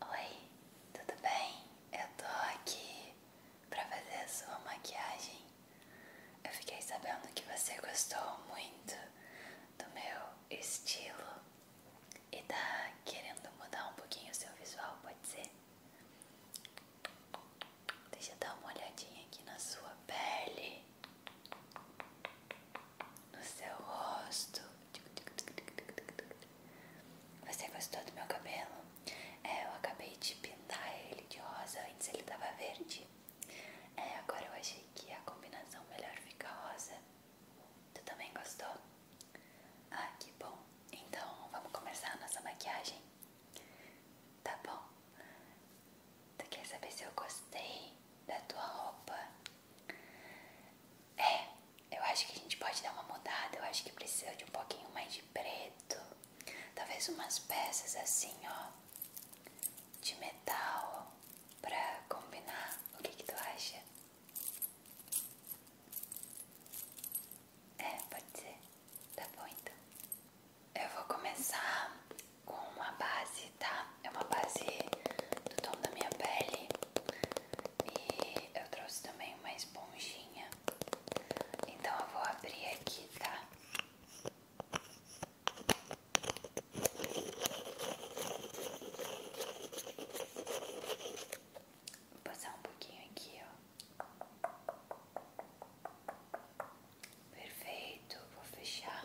Oi, tudo bem? Eu tô aqui pra fazer a sua maquiagem. Eu fiquei sabendo que você gostou muito do meu estilo e tá querendo mudar um pouquinho o seu visual, pode ser? Deixa eu dar uma olhadinha aqui na sua pele no seu rosto. Você gostou do meu cabelo? É, eu acabei de pintar ele de rosa, antes ele tava verde. É, agora eu achei que a combinação melhor fica rosa. Tu também gostou? Ah, que bom. Então, vamos começar a nossa maquiagem? Tá bom. Tu quer saber se eu gostei da tua roupa? É, eu acho que a gente pode dar uma mudada. Eu acho que precisa de um pouquinho mais de preto. Talvez umas peças assim, ó, de metal pra combinar. O que, tu acha? É, pode ser. Tá bom então. Eu vou começar com uma base, tá? É uma base do tom da minha pele. E eu trouxe também uma esponjinha. Então eu vou abrir aqui, tá? Vou passar um pouquinho aqui, ó. Perfeito, vou fechar.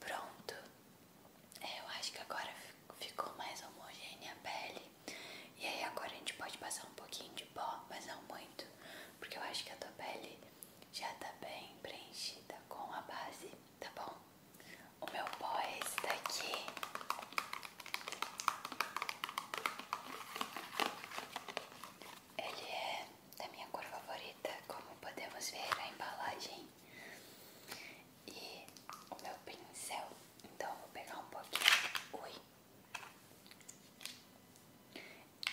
Pronto. É, eu acho que agora ficou mais homogênea a pele. E aí agora a gente pode passar um pouquinho de pó, mas não muito, porque eu acho que a tua pele já tá bem preenchida com a base, tá bom? O meu pó é esse daqui. Ele é da minha cor favorita, como podemos ver na embalagem. E o meu pincel, então vou pegar um pouquinho. Ui!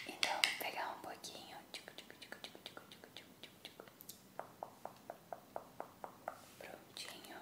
Então vou pegar um pouquinho. Prontinho.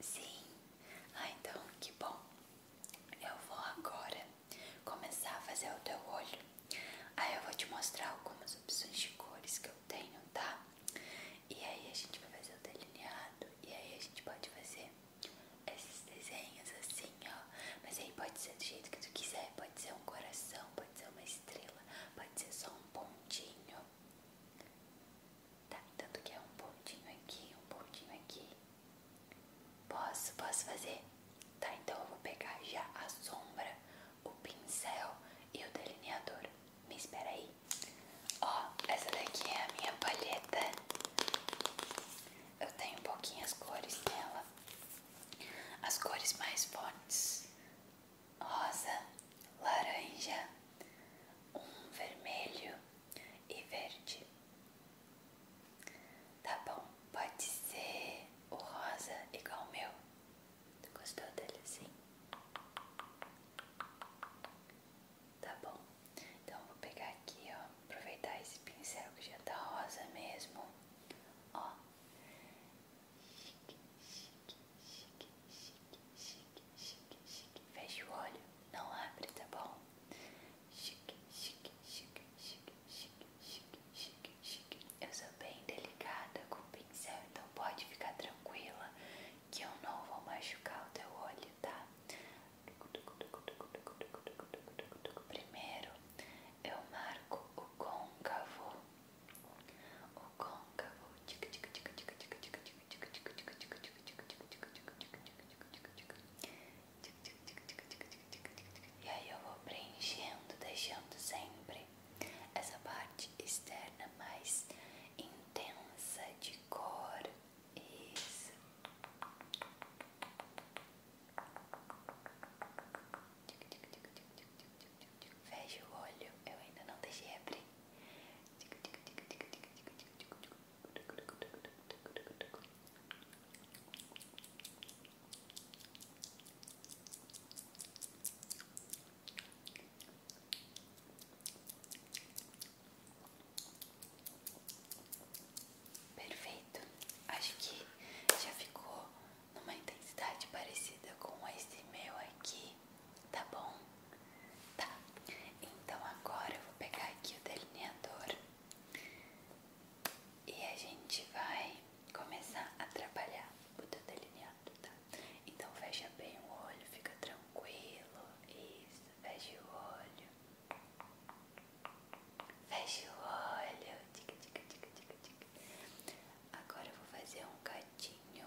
Sim. Ah, então que bom. Eu vou agora começar a fazer o teu olho. Aí eu vou te mostrar algumas opções de cores que eu tenho, tá? E aí a gente vai fazer o delineado e aí a gente pode fazer esses desenhos assim, ó. Mas aí pode ser do jeito que tu quiser, pode ser um coração, pode ser uma estrela, pode ser só um pontinho. Tá me que é um pontinho aqui, um pontinho aqui. Posso, posso fazer? Tá, então eu vou pegar já a sombra, o pincel e o delineador. Me espera aí. Ó, essa daqui é a minha palheta. Eu tenho pouquinhas cores nela. As cores mais fortes. Rosa, laranja, um vermelho e verde. Tá bom, pode ser o rosa igual o meu. Tu gostou dele sim Tá bom, então vou pegar aqui, ó. Aproveitar esse pincel que já tá rosa mesmo. Ó, chique, chique, chique, chique, chique, chique. Fecha o olho, não abre, tá bom? Chique, chique, chique, chique, chique, chique, chique, Eu sou bem delicada com o pincel, então pode ficar tranquila que eu não vou machucar o teu olho, tá? Primeiro eu marco o côncavo, o côncavo, tic tic tic tic tic tic e aí eu vou preenchendo, deixando sempre essa parte externa mais intensa de cor. Isso. Feche o olho, eu ainda não deixei t Perfeito, acho que já ficou numa intensidade parecida com esse meu aqui, tá bom? Tá, então agora eu vou pegar aqui o delineador e a gente vai começar a trabalhar o teu delineado, tá? Então fecha bem o olho, fica tranquilo, isso, fecha o olho, fecha o olho, tica, tica, tica, tica, tica. Agora eu vou fazer um gatinho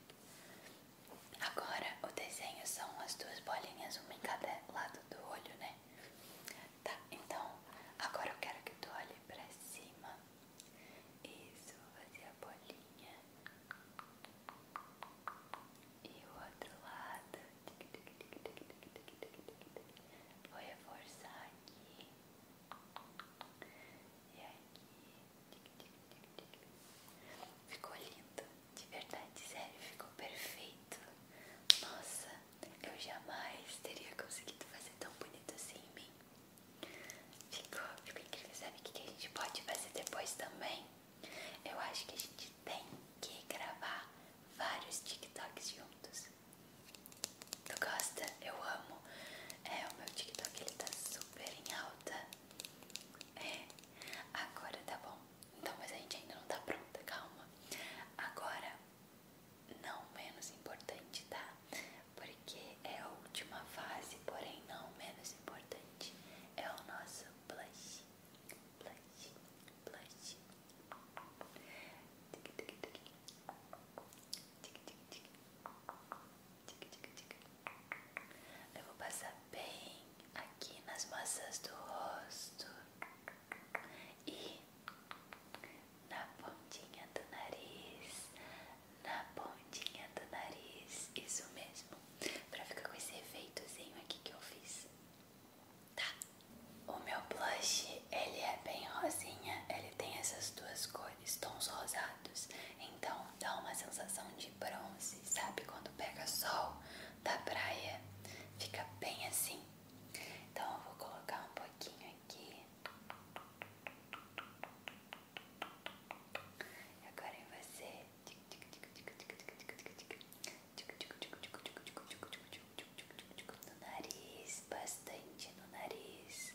Agora o desenho são as duas bolinhas, uma em cada lado do olho, né? Tá, então agora eu quero que tu olhe pra cima. Isso, fazer a bolinha. E o outro lado. Vou reforçar aqui. E aqui. Ficou lindo, de verdade, sério, ficou perfeito. Nossa, eu jamais teria conseguido fazer tão bonito assim em mim. Ficou, ficou incrível. Sabe o que a gente pode fazer depois também? Eu acho que a gente tem que gravar vários TikToks juntos. Tu gosta? Eu amo. É, o meu TikTok ele tá super em alta. É, agora tá bom. Então, mas a gente ainda não tá pronta, calma. Agora, não menos importante, tá? Porque é a última fase, porém não menos importante. É o nosso blush. Blush, blush. Tic, tic, tic. Tic, tic, tic. Eu vou passar bem aqui nas massas do rosto e na pontinha do nariz, na pontinha do nariz, isso mesmo, pra ficar com esse efeitozinho aqui que eu fiz. Tá, o meu blush ele é bem rosinha, ele tem essas duas cores estons rosados, então dá uma sensação de bronze, sabe? Quando pega sol da praia, fica bem assim. Então eu vou colocar um pouquinho aqui. E agora em você. No nariz, bastante no nariz.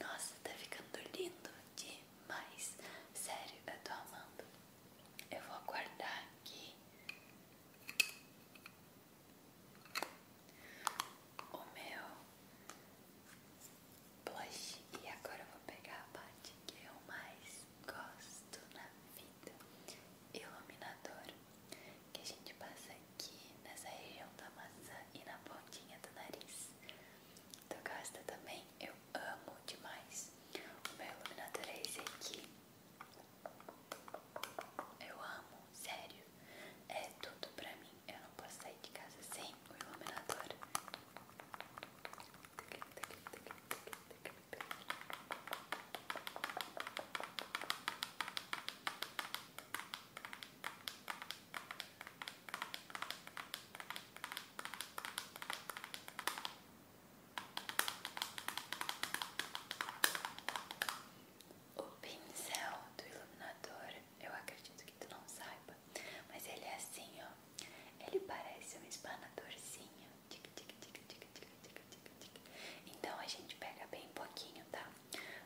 Nossa, tá ficando lindo demais. Sério, eu tô amando. Eu vou guardar aqui o meu blush. E agora eu vou pegar a parte que eu mais gosto na vida: iluminador que a gente passa aqui nessa região da maçã e na pontinha do nariz. Tu gasta também? Eu amo demais. O meu iluminador é esse aqui. Eu amo, sério. É tudo pra mim. Eu não posso sair de casa sem o iluminador. O pincel do iluminador, eu acredito que tu não saiba, mas ele é assim, ó. Ele parece um espanadorzinho. Tic, tic, tic, tic, tic, tic, tic, Então a gente pega bem pouquinho, tá?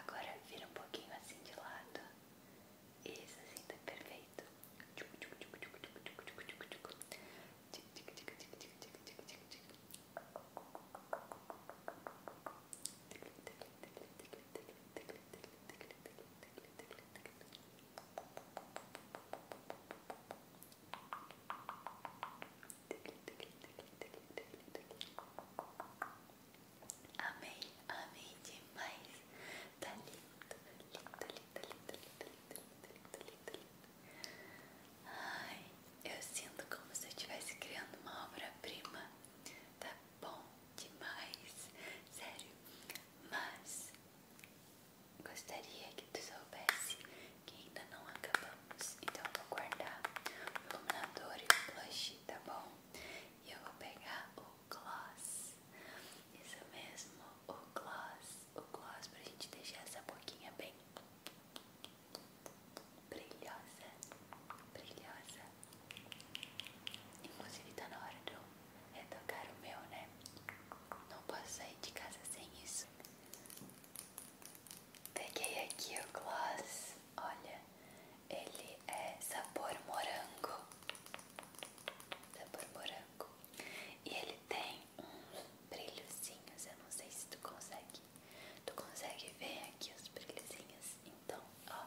Agora vira um pouquinho assim de lado. Isso assim tá perfeito. Agora Amei, amei demais. Tá lindo, tá lindo, tá lindo, tá lindo, lindo, lindo, lindo, lindo, lindo. Ai, eu sinto como se eu estivesse criando uma obra-prima. Tá bom demais, sério. Mas gostaria que tu soubesse que ainda não acabamos. Então eu vou guardar o iluminador e o blush, tá bom? E eu vou pegar o gloss. Isso mesmo, o gloss. O gloss pra gente deixar essa boquinha bem brilhosa. Brilhosa. Inclusive tá na hora de eu retocar o meu, né? Não posso sair de casa sem isso. Peguei aqui o gloss, olha, ele é sabor morango, sabor morango, e ele tem uns brilhozinhos, eu não sei se tu consegue, tu consegue ver aqui os brilhozinhos, então, ó.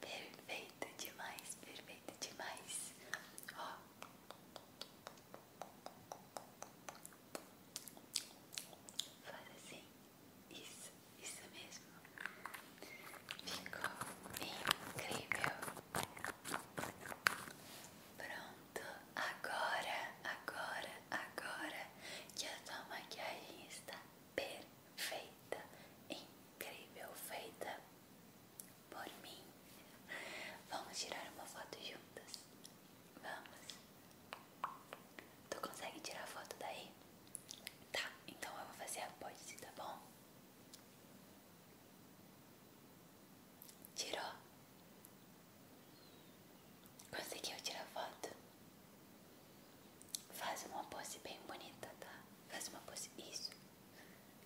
Perfeito demais, perfeito demais. Ó. Faz assim. Isso, isso mesmo. Ficou incrível. Pronto, agora, agora, agora que a sua maquiagem está perfeita, incrível, feita por mim. Vamos tirar uma foto juntas? Vamos. Tu consegue tirar foto daí? Tá, então eu vou fazer a pose, tá bom? Tirou? Conseguiu tirar foto? Faz uma pose bem bonita, tá? Faz uma pose. Isso.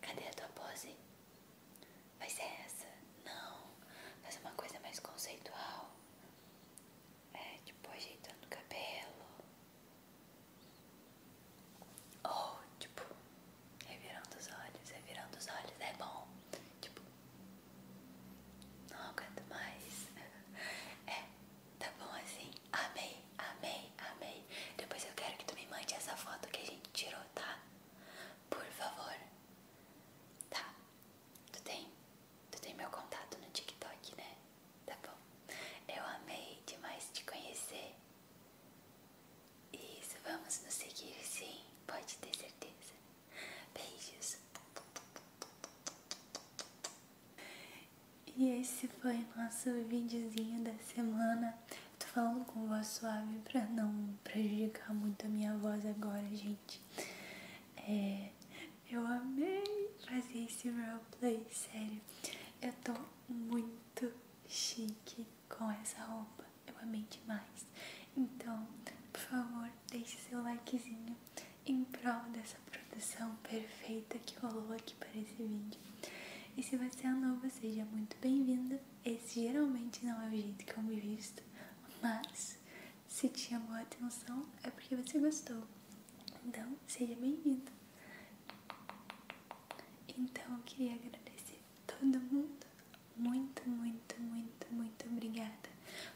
Cadê a tua pose? Vai ser essa? Não. Faz uma coisa mais conceitual. É, tipo, ajeitando o cabelo. Ou, tipo, revirando os olhos, revirando os olhos. É bom. Tipo, não aguento mais. É, tá bom assim. Amei, amei, amei. Depois eu quero que tu me mande essa foto que a gente tirou, tá? Por favor. Tá. Tu tem, tu tem meu contato no TikTok, né? Tá bom. Eu amei demais te conhecer. Isso, vamos nos seguir, sim. Pode ter certeza. Beijos. E esse foi nosso videozinho da semana. Tô falando com voz suave pra não prejudicar muito a minha voz agora, gente. É, eu amei fazer esse roleplay, sério. Eu tô muito chique com essa roupa eu amei demais. Então, por favor, deixe seu likezinho em prol dessa produção perfeita que rolou aqui para esse vídeo. E se você é novo, seja muito bem-vinda. Esse geralmente não é o jeito que eu me visto, mas se tinha boa atenção é porque você gostou. Então, seja bem vinda Então, eu queria agradecer todo mundo muito, muito, muito, muito obrigada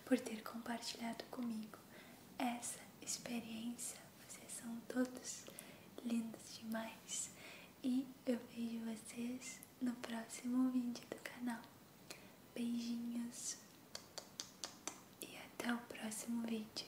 por ter compartilhado comigo essa experiência. Vocês são todos lindos demais e eu vejo vocês no próximo vídeo do canal. Beijinhos e até o próximo vídeo.